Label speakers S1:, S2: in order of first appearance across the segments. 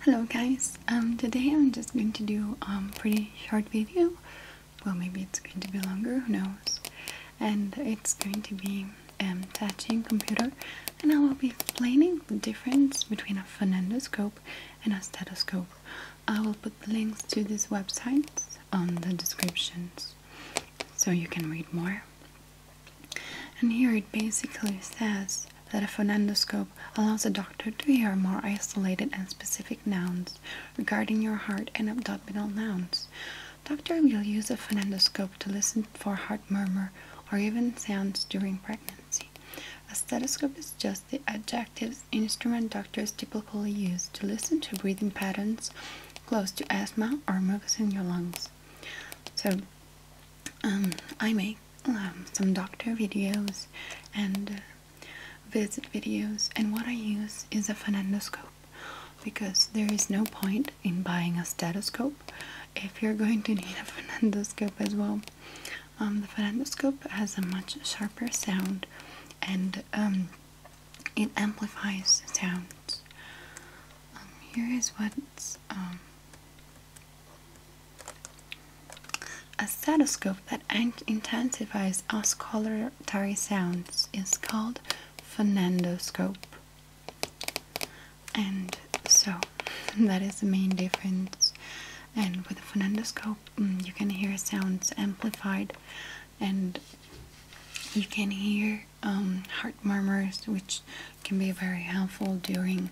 S1: Hello guys, um, today I'm just going to do a um, pretty short video, well maybe it's going to be longer, who knows, and it's going to be um, touching computer and I will be explaining the difference between a phonendoscope and a stethoscope. I will put the links to these websites on the descriptions so you can read more. And here it basically says that a phonendoscope allows a doctor to hear more isolated and specific nouns regarding your heart and abdominal nouns. Doctor will use a phonendoscope to listen for heart murmur or even sounds during pregnancy. A stethoscope is just the adjective instrument doctors typically use to listen to breathing patterns close to asthma or mucus in your lungs. So um, I make um, some doctor videos and uh, visit videos, and what I use is a phonendoscope because there is no point in buying a stethoscope if you're going to need a phonendoscope as well. Um, the phonendoscope has a much sharper sound and it amplifies sounds. Um, here is what um, a stethoscope that intensifies auscultatory sounds is called phonendoscope. And so that is the main difference. And with a phonandoscope, mm, you can hear sounds amplified and you can hear um, heart murmurs, which can be very helpful during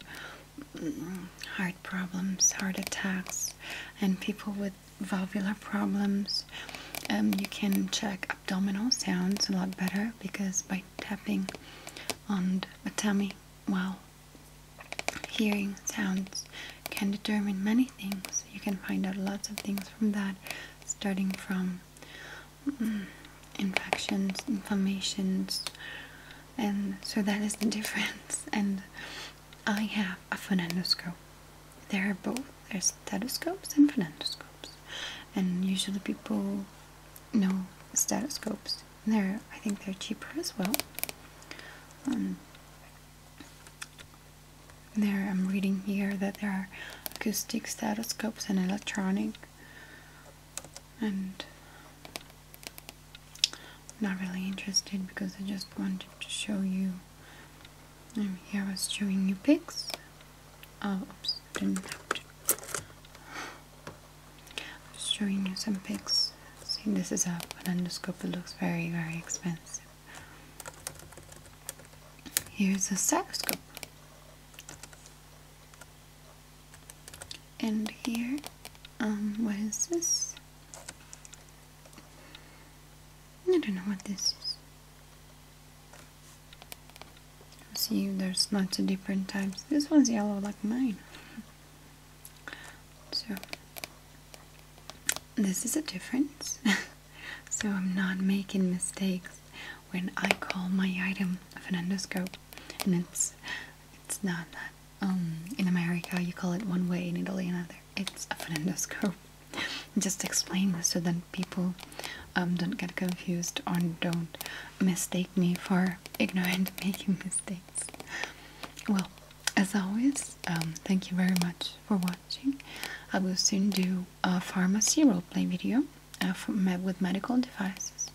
S1: mm, heart problems, heart attacks, and people with valvular problems. Um, you can check abdominal sounds a lot better because by tapping on the tummy while hearing sounds can determine many things so you can find out lots of things from that, starting from mm, infections, inflammations, and so that is the difference. And I have a phonendoscope. There are both. There's stethoscopes and phonendoscopes, and usually people know stethoscopes. They're I think they're cheaper as well. Um, there, I'm reading here that there are acoustic stethoscopes and electronic, and not really interested because I just wanted to show you. I'm here I was showing you pics. Oh, oops, didn't have to. I'm showing you some pics. See, this is a an endoscope. It looks very, very expensive. Here's a stethoscope. And here, um, what is this? I don't know what this is. See, there's lots of different types. This one's yellow like mine. So, this is a difference. so, I'm not making mistakes when I call my item of an endoscope, and it's it's not that. Um, in America, you call it one way; in Italy, another. It's a endoscope. Just explain this so that people um, don't get confused or don't mistake me for ignorant making mistakes. Well, as always, um, thank you very much for watching. I will soon do a pharmacy roleplay video uh, with medical devices,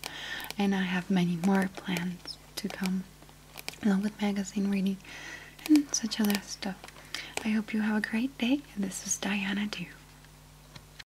S1: and I have many more plans to come, along with magazine reading and such other stuff. I hope you have a great day. This is Diana Dew.